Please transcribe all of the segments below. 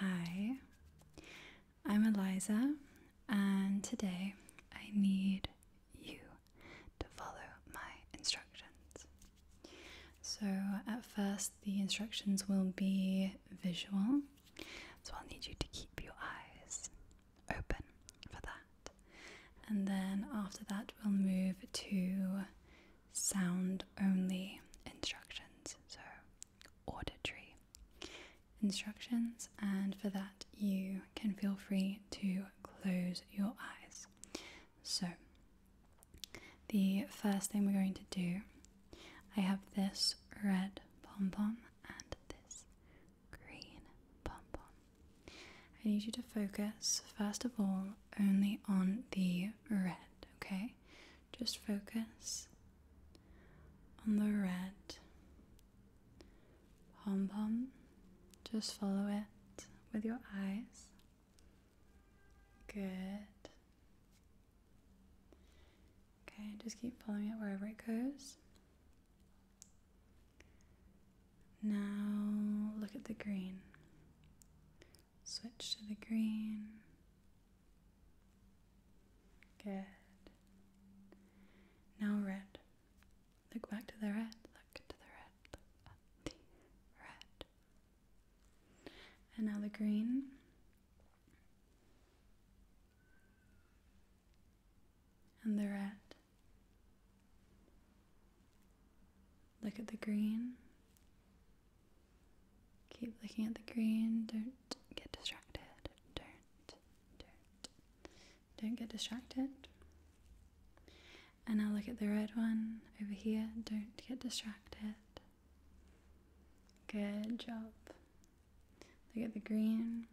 Hi, I'm Eliza, and today I need you to follow my instructions. So, at first, the instructions will be visual, so I'll need you to keep your eyes open for that, and then after that, we'll move to sound only instructions, so auditory instructions, and for that, you can feel free to close your eyes. So, the first thing we're going to do, I have this red pom pom and this green pom pom. I need you to focus, first of all, only on the red, okay? Just focus on the red pom pom. Just follow it with your eyes. Good. Okay, just keep following it wherever it goes. Now look at the green. Switch to the green. Good. Now red. Look back to the red. Look to the red. the red. And now the green. And the red. Look at the green. Keep looking at the green. Don't get distracted. Don't, don't, don't get distracted. And now look at the red one over here. Don't get distracted. Good job. Look at the green.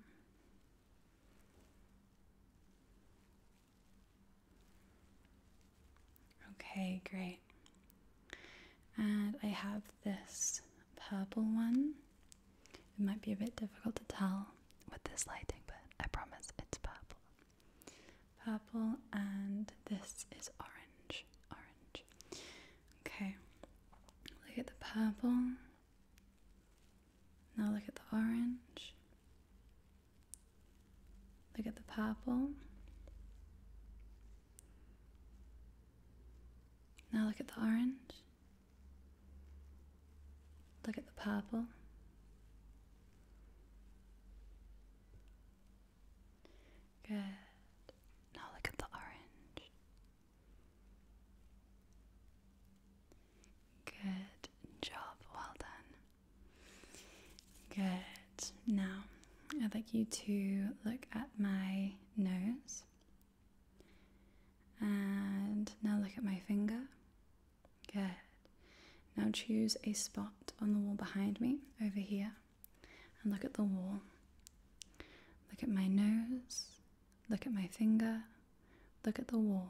Okay, great. And I have this purple one. It might be a bit difficult to tell with this lighting, but I promise it's purple. Purple, and this is orange. Orange. Okay, look at the purple. Now look at the orange. Look at the purple. Now look at the orange. Look at the purple. Good. Now look at the orange. Good job. Well done. Good. Now, I'd like you to look at my nose. And now look at my finger. Good. Now choose a spot on the wall behind me, over here, and look at the wall. Look at my nose, look at my finger, look at the wall,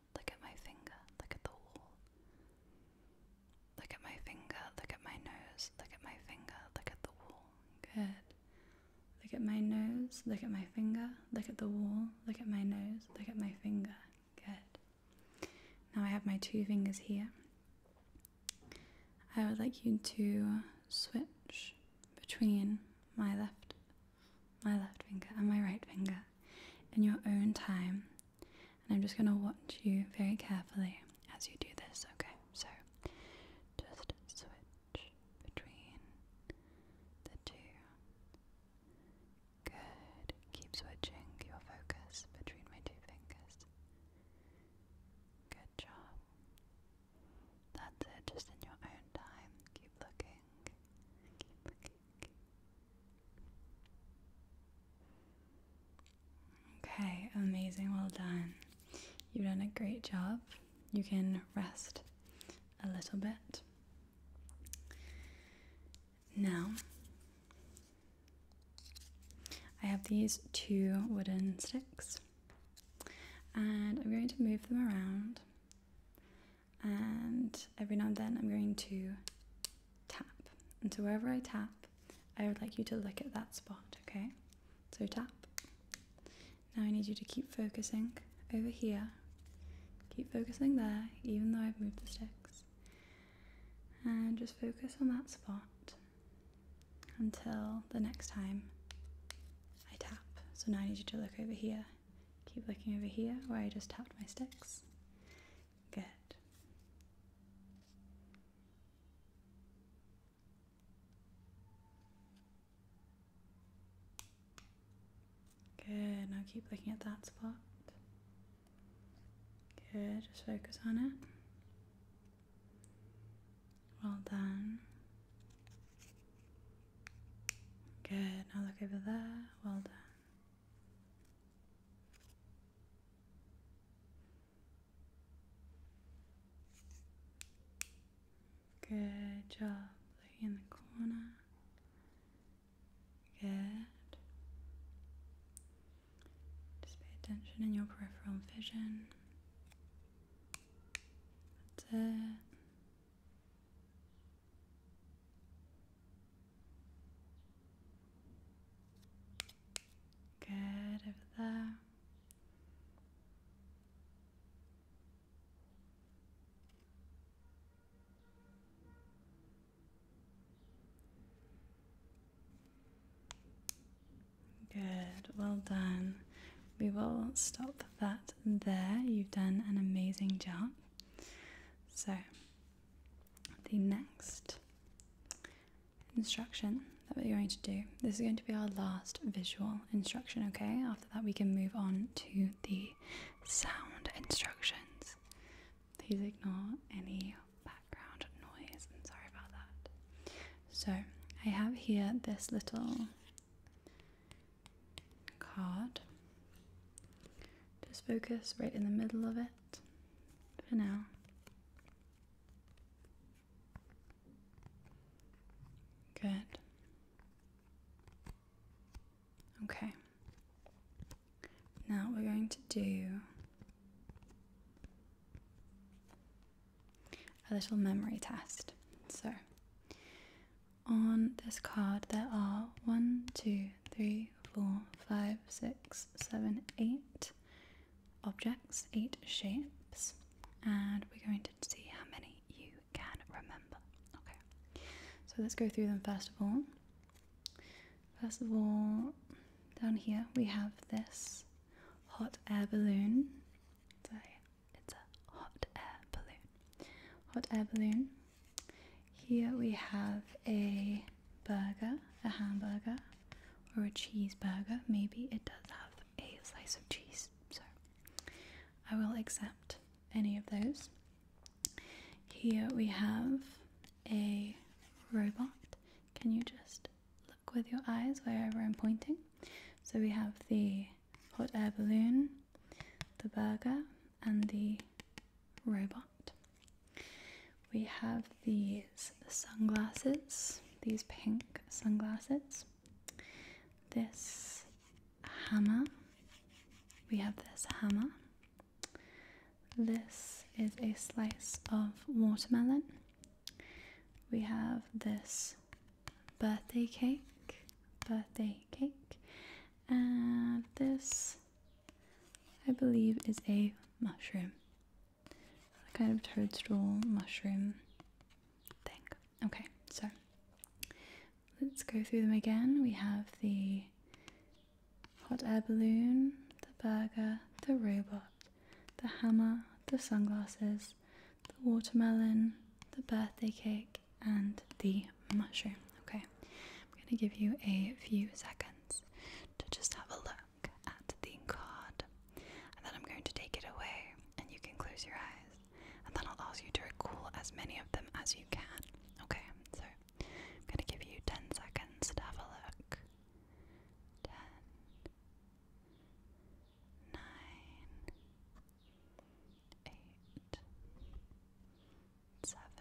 Look at my finger. Look at the wall. Look at my finger. Look at my nose. Look at my finger. Look at the wall. Good. Look at my nose. Look at my finger. Look at the wall. Look at my nose. Look at my finger. Good. Now I have my two fingers here. I would like you to switch between my left my left finger and my right finger in your own time. And I'm just going to watch you very carefully as you do this, okay? So just switch between the two. Good. Keep switching your focus between my two fingers. Good job. That's it, just in your own time. Keep looking. Keep looking. Okay, amazing, well done. You've done a great job. You can rest a little bit. Now, I have these two wooden sticks, and I'm going to move them around and every now and then I'm going to tap. And so wherever I tap, I would like you to look at that spot, okay? So tap. Now I need you to keep focusing over here. Keep focusing there, even though I've moved the sticks. And just focus on that spot until the next time I tap. So now I need you to look over here Keep looking over here where I just tapped my sticks. Good. Good, now keep looking at that spot. Good, just focus on it. Well done. Good, now look over there. Well done. Good job. Lay in the corner. Good. Just pay attention in your peripheral vision. That's Good over there. Good, well done. We will stop that there. You've done an amazing job. So, the next instruction that we're going to do. This is going to be our last visual instruction, okay? After that, we can move on to the sound instructions. Please ignore any background noise. sorry about that. So, I have here this little card. Just focus right in the middle of it for now. Good. Okay. Now we're going to do a little memory test. So on this card, there are one, two, three, four, five, six, seven, eight objects, 8 shapes, and we're going to see how many you can remember. Okay, so let's go through them first of all. First of all, down here we have this hot air balloon. It's it's a hot air balloon. Hot air balloon here we have a burger, a hamburger, or a cheeseburger. Maybe it does have a slice of cheese, so I will accept any of those. Here we have a robot. Can you just look with your eyes wherever I'm pointing? So we have the hot air balloon, the burger, and the robot. We have these sunglasses, these pink sunglasses. This hammer. We have this hammer. This is a slice of watermelon. We have this birthday cake, birthday cake, and this I believe is a mushroom. A kind of toadstool mushroom thing. Okay, so let's go through them again. We have the hot air balloon, the burger, the robot, the hammer, the sunglasses, the watermelon, the birthday cake, and the mushroom. Okay, I'm going to give you a few seconds to just have a look at the card, and then I'm going to take it away, and you can close your eyes, and then I'll ask you to recall as many of them as you can. Okay, so I'm going to give you 10 seconds to have a look. 10, 8, seven,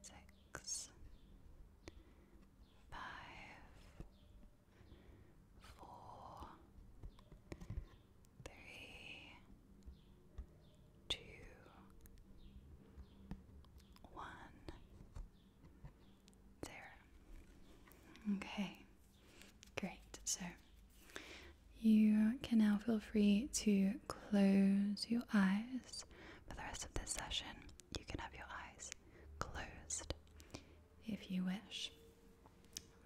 six, five, four, three, two, one, zero. Okay, great. So you can now feel free to close your eyes for the rest of this session. You can have your eyes closed if you wish.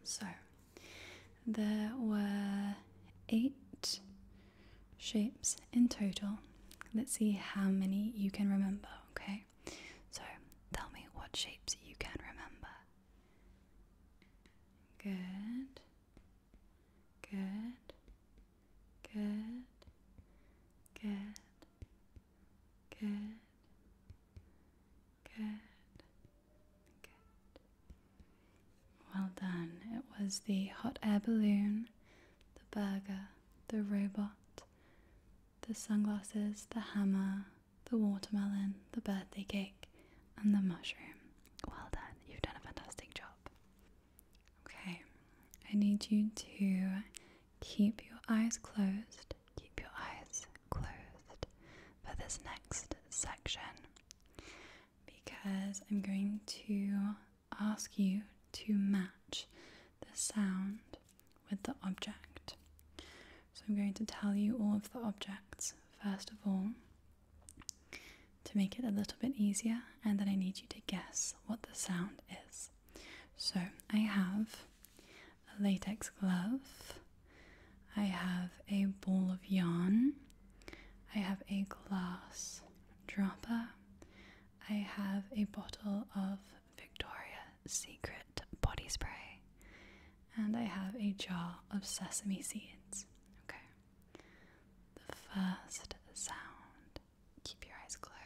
So, there were eight shapes in total. Let's see how many you can remember, okay? So, tell me what shapes you can remember. Good. Good. Good. Good. Good. Good. Good. Well done. It was the hot air balloon, the burger, the robot, the sunglasses, the hammer, the watermelon, the birthday cake, and the mushroom. Well done, you've done a fantastic job. Okay, I need you to keep your eyes closed, keep your eyes closed for this next section because I'm going to ask you to match the sound with the object. So I'm going to tell you all of the objects first of all, to make it a little bit easier, and then I need you to guess what the sound is. So I have a latex glove, I have a ball of yarn, I have a glass dropper, I have a bottle of Victoria Secret body spray, and I have a jar of sesame seeds. Okay. The first sound, keep your eyes closed.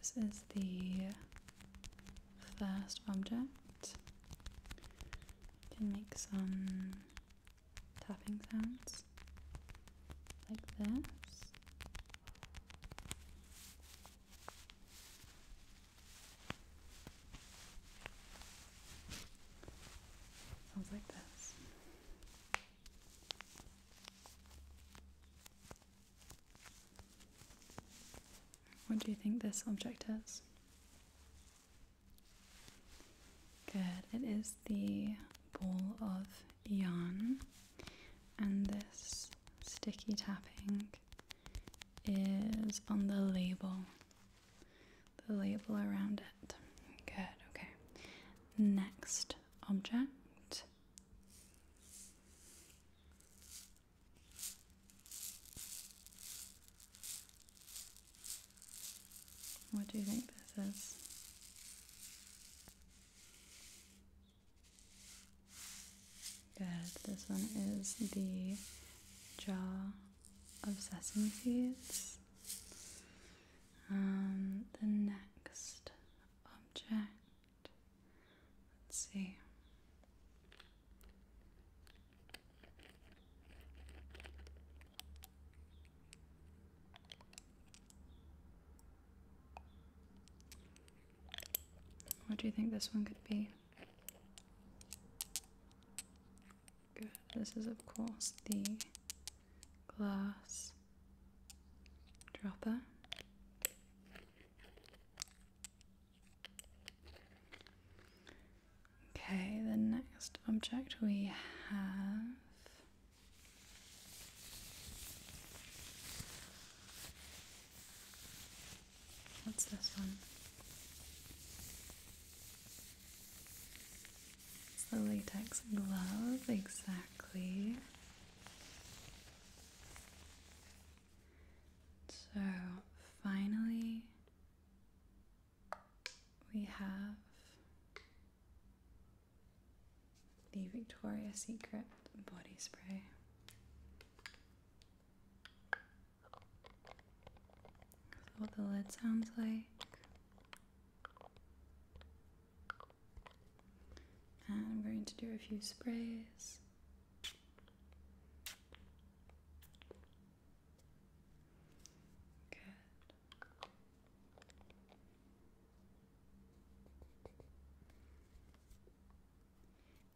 This is the first object can make some tapping sounds like this. Sounds like this. What do you think this object is? Good. It is the ball of yarn, and this sticky tapping is on the label, the label around it. Good, okay. Next object. What do you think this is? Good. This one is the jaw of sesame seeds. Um, the next object. Let's see. What do you think this one could be? This is, of course, the glass dropper. Okay, the next object we have What's this one? It's the latex glove, exactly. So finally, we have the Victoria's Secret body spray. what the lid sounds like. And I'm going to do a few sprays.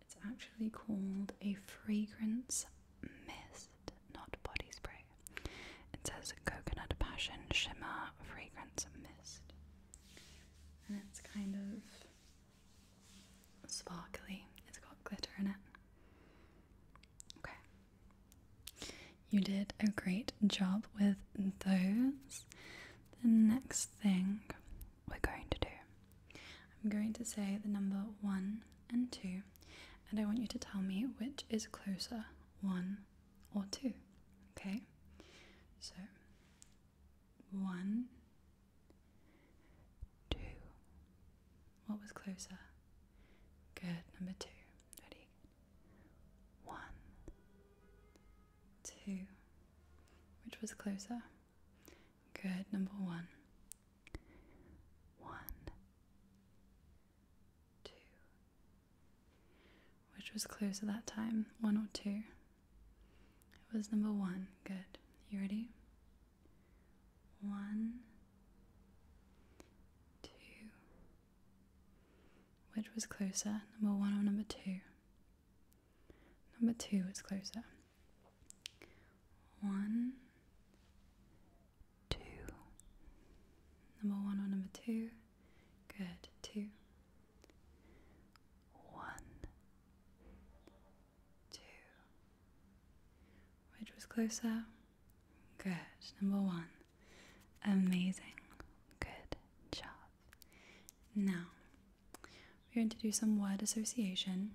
It's actually called a fragrance mist, not body spray. It says coconut passion shimmer fragrance mist. And it's kind of sparkly. It's got glitter in it. Okay. You did a great job with those. The next thing we're going to do, I'm going to say the number one and two, and I want you to tell me which is closer, one or two. Okay? So, one, Two. What was closer? Good. Number two. Ready? One. Two. Which was closer? Good. Number one. One. Two. Which was closer that time? One or two? It was number one. Good. You ready? One, two. Which was closer, number one or number two? Number two was closer. One, two. Number one or number two? Good, two. One, two. Which was closer? Good. Number one. Amazing. Good job. Now, we're going to do some word association.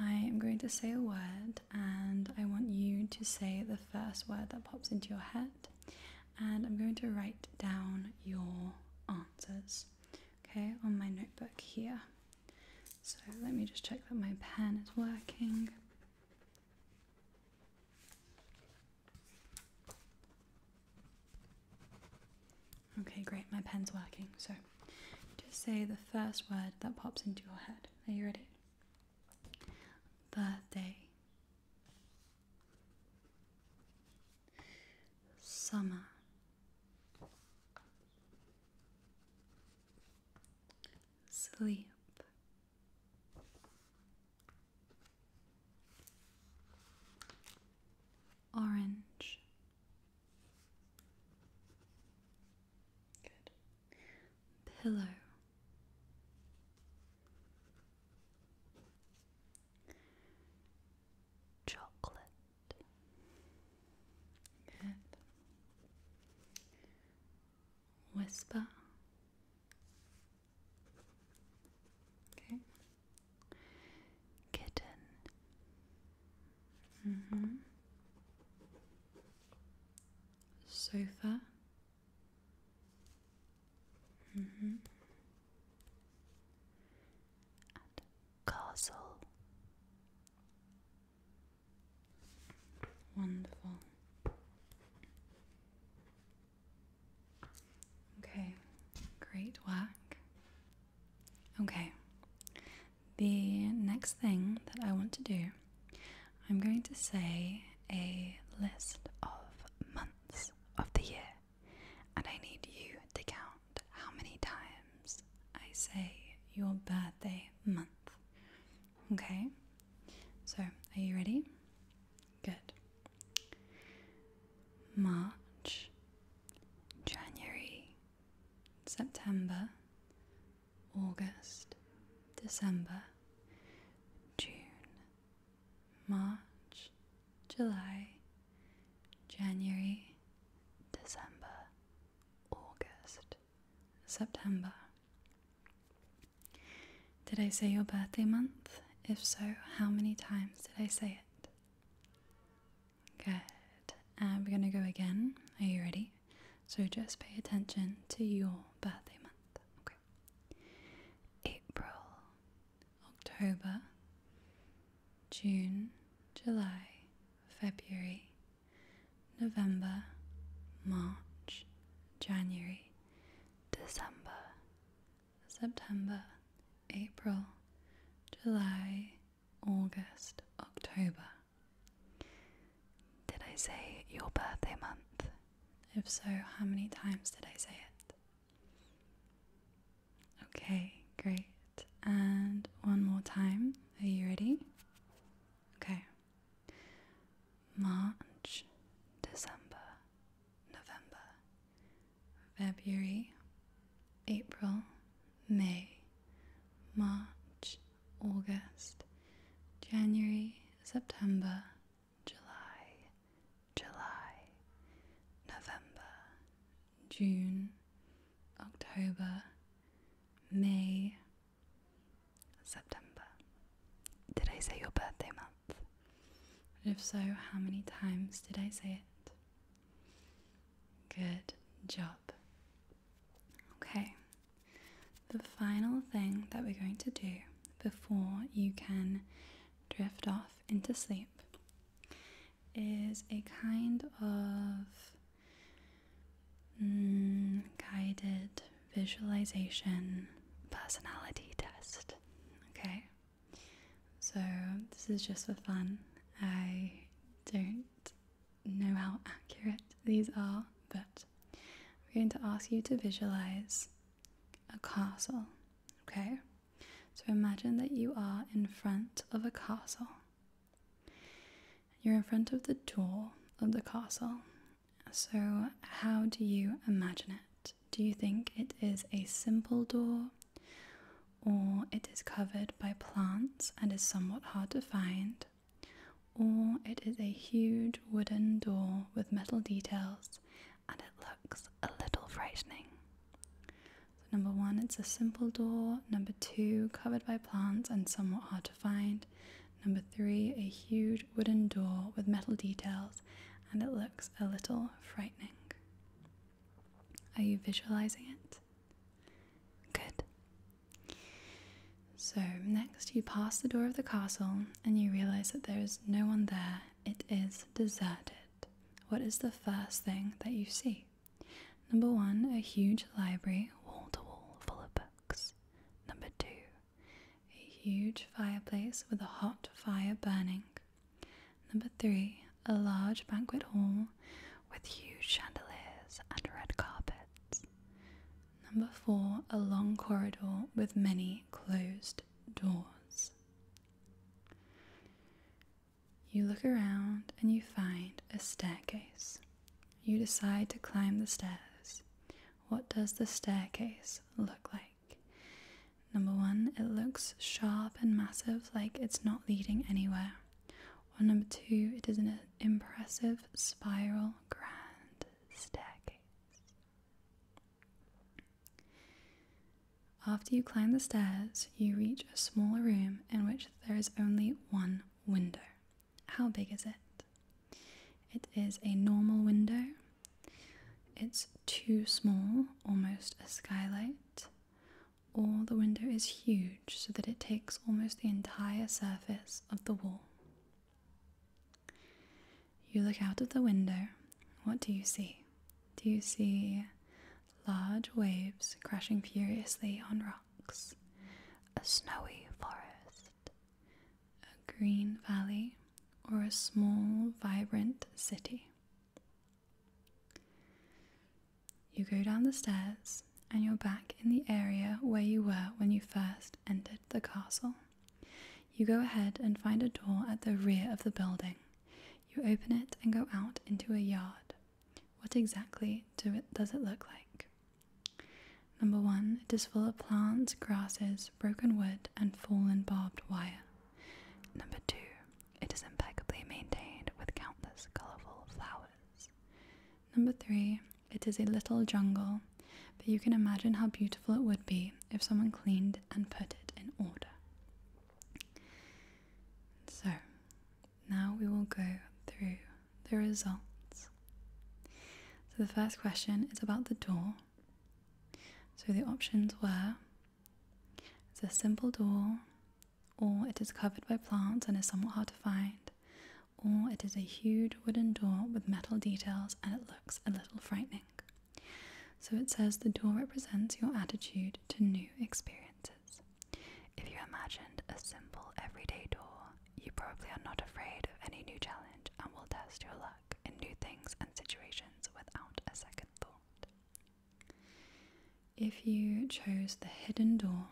I am going to say a word and I want you to say the first word that pops into your head. And I'm going to write down your answers, okay, on my notebook here. So let me just check that my pen is working. Okay, great, my pen's working. So just say the first word that pops into your head. Are you ready? Birthday. Summer. Sleep. Orange. Good. Pillow. Chocolate. Whisper. Okay. Kitten. Mm-hmm. Sofa. Mm-hmm. castle. Wonderful. Okay, great work. Okay, the next thing that I want to do, I'm going to say a list of months of the year, and I need you to count how many times I say your birthday month. Okay? So, are you ready? Good. March, January, September, August, December, June, March, July, January, December, August, September. Did I say your birthday month? If so, how many times did I say it? Good. we're going to go again. Are you ready? So just pay attention to your birthday month. Okay. April, October, June, July, February, November, March, January, December, September, April, July, August, October. Did I say your birthday month? If so, how many times did I say it? Okay, great and one more time. Are you ready? Okay. March, December, November, February, April, May, March, August, January, September, July, July, November, June, October, May, September. Did I say your birthday month? if so, how many times did I say it? Good job. Okay, the final thing that we're going to do before you can drift off into sleep is a kind of mm, guided visualization personality test. Okay, so this is just for fun. I don't know how accurate these are, but we're going to ask you to visualize a castle. Okay, so imagine that you are in front of a castle. You're in front of the door of the castle. So, how do you imagine it? Do you think it is a simple door, or it is covered by plants and is somewhat hard to find, or it is a huge wooden door with metal details and it looks a little frightening? number one, it's a simple door. Number two, covered by plants and somewhat hard to find. Number three, a huge wooden door with metal details, and it looks a little frightening. Are you visualizing it? Good. So, next you pass the door of the castle and you realize that there is no one there. It is deserted. What is the first thing that you see? Number one, a huge library wall to wall full of books. Number two, a huge fireplace with a hot fire burning. Number three, a large banquet hall with huge chandeliers and red carpets. Number four, a long corridor with many closed doors. You look around and you find a staircase. You decide to climb the stairs. What does the staircase look like? Number one, it looks sharp and massive, like it's not leading anywhere. Or number two, it is an impressive spiral grand staircase. After you climb the stairs, you reach a small room in which there is only one window. How big is it? It is a normal window. It's too small, almost a skylight, or the window is huge so that it takes almost the entire surface of the wall. You look out of the window, what do you see? Do you see large waves crashing furiously on rocks? a snowy forest, a green valley, or a small, vibrant city. You go down the stairs and you're back in the area where you were when you first entered the castle. You go ahead and find a door at the rear of the building. You open it and go out into a yard. What exactly does it look like? Number one, it is full of plants, grasses, broken wood, and fallen barbed wire. Number two, it is impeccably maintained with countless colourful flowers. Number three, it is a little jungle, but you can imagine how beautiful it would be if someone cleaned and put it in order. So, now we will go through the results. So the first question is about the door. So the options were it's a simple door, or it is covered by plants and is somewhat hard to find, or it is a huge wooden door with metal details and it looks a little frightening. So it says the door represents your attitude to new experiences. If you imagined a simple everyday door, you probably are not afraid of any new challenge and will test your luck in new things and situations without a second thought. If you chose the hidden door,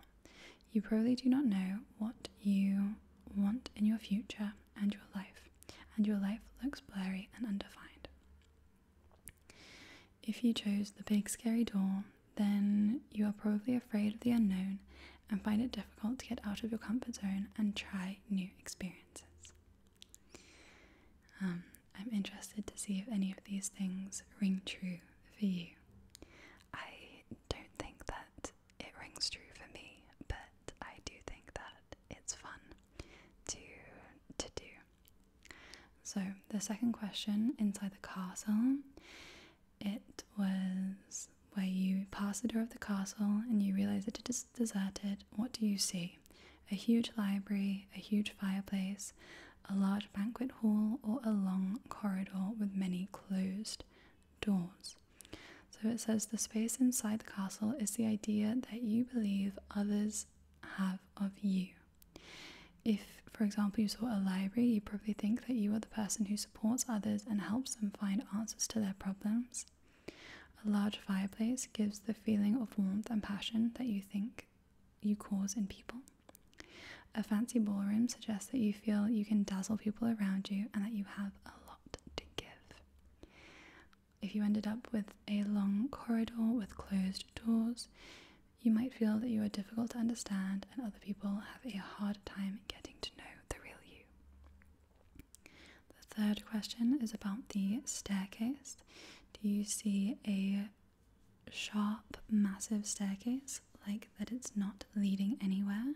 you probably do not know what you want in your future and your life, and your life looks blurry and undefined. If you chose the big scary door, then you are probably afraid of the unknown and find it difficult to get out of your comfort zone and try new experiences. Um, I'm interested to see if any of these things ring true for you. I don't think that it rings true for me, but I do think that it's fun to to do so, the second question inside the castle, it was where you pass the door of the castle and you realize that it is deserted. What do you see? A huge library, a huge fireplace, a large banquet hall, or a long corridor with many closed doors. So it says the space inside the castle is the idea that you believe others have of you. If, for example, you saw a library, you probably think that you are the person who supports others and helps them find answers to their problems. A large fireplace gives the feeling of warmth and passion that you think you cause in people. A fancy ballroom suggests that you feel you can dazzle people around you and that you have a lot to give. If you ended up with a long corridor with closed doors, you might feel that you are difficult to understand and other people have a hard time getting to know the real you. The third question is about the staircase. Do you see a sharp, massive staircase, like that it's not leading anywhere,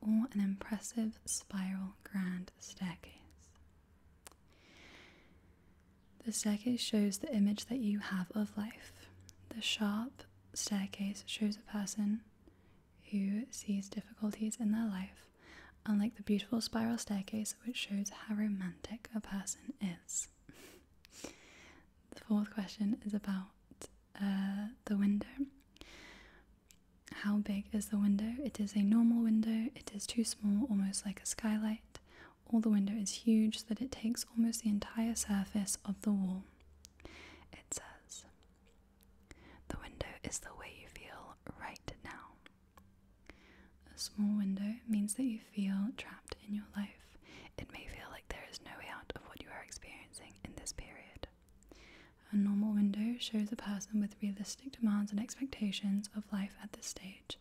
or an impressive spiral grand staircase? The staircase shows the image that you have of life. The sharp staircase shows a person who sees difficulties in their life, unlike the beautiful spiral staircase, which shows how romantic a person is. the fourth question is about uh, the window. How big is the window? It is a normal window, it is too small, almost like a skylight, all the window is huge that it takes almost the entire surface of the wall. It says, The window is the way you feel right now. A small window means that you feel trapped in your life. It may feel like there is no way out of what you are experiencing in this period. A normal window shows a person with realistic demands and expectations of life at this stage.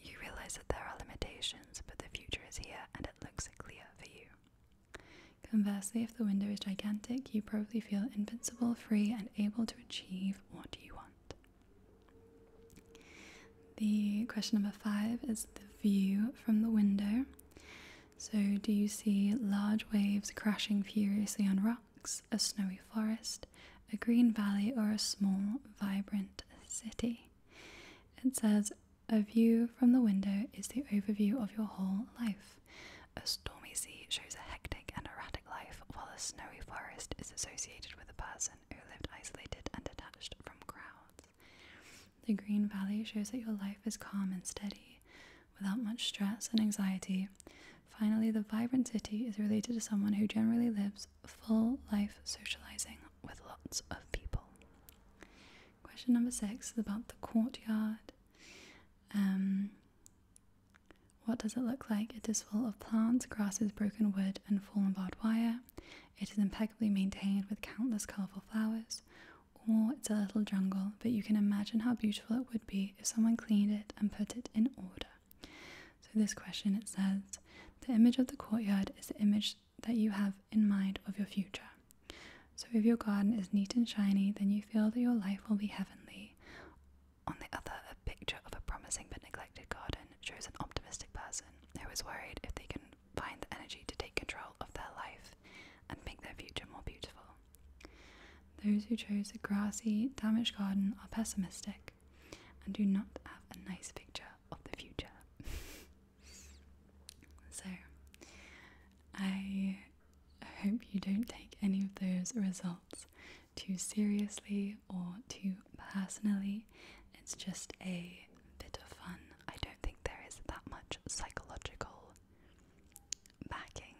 You realize that there are limitations, but the future is here and looks clear for you. Conversely, if the window is gigantic, you probably feel invincible, free, and able to achieve what you want. The question number five is the view from the window. So, do you see large waves crashing furiously on rocks, a snowy forest, a green valley, or a small, vibrant city? It says a view from the window is the overview of your whole life. A stormy sea shows a hectic and erratic life, while a snowy forest is associated with a person who lived isolated and detached from crowds. The green valley shows that your life is calm and steady, without much stress and anxiety. Finally, the vibrant city is related to someone who generally lives full life socializing with lots of people. Question number six is about the courtyard. Um, what does it look like? It is full of plants, grasses, broken wood, and fallen barbed wire. It is impeccably maintained with countless colourful flowers. Or it's a little jungle, but you can imagine how beautiful it would be if someone cleaned it and put it in order. So, this question it says The image of the courtyard is the image that you have in mind of your future. So, if your garden is neat and shiny, then you feel that your life will be heavenly. On the other, a picture of a promising but neglected garden shows an optimistic person who is worried if they can find the energy to take control of their life and make their future more beautiful. Those who chose a grassy, damaged garden are pessimistic and do not have a nice picture of the future. So, I hope you don't take any of those results too seriously or too personally. It's just a bit of fun. I don't think there is that much psychological backing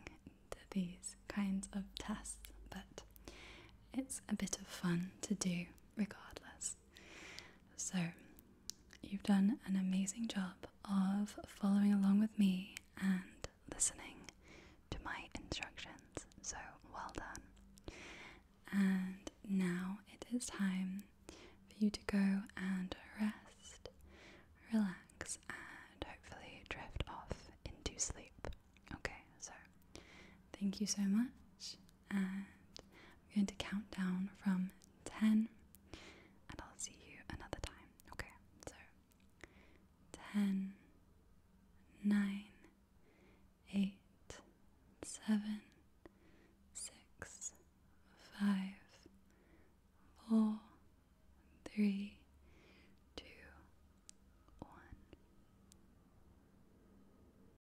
to these kinds of tests, but it's a bit of fun to do regardless. So, you've done an amazing job of following along with me and listening to my instructions. So, well done. And now it is time for you to go and rest, relax, and hopefully drift off into sleep. Okay, so thank you so much and I'm going to count down from 10 and I'll see you another time. Okay, so 10,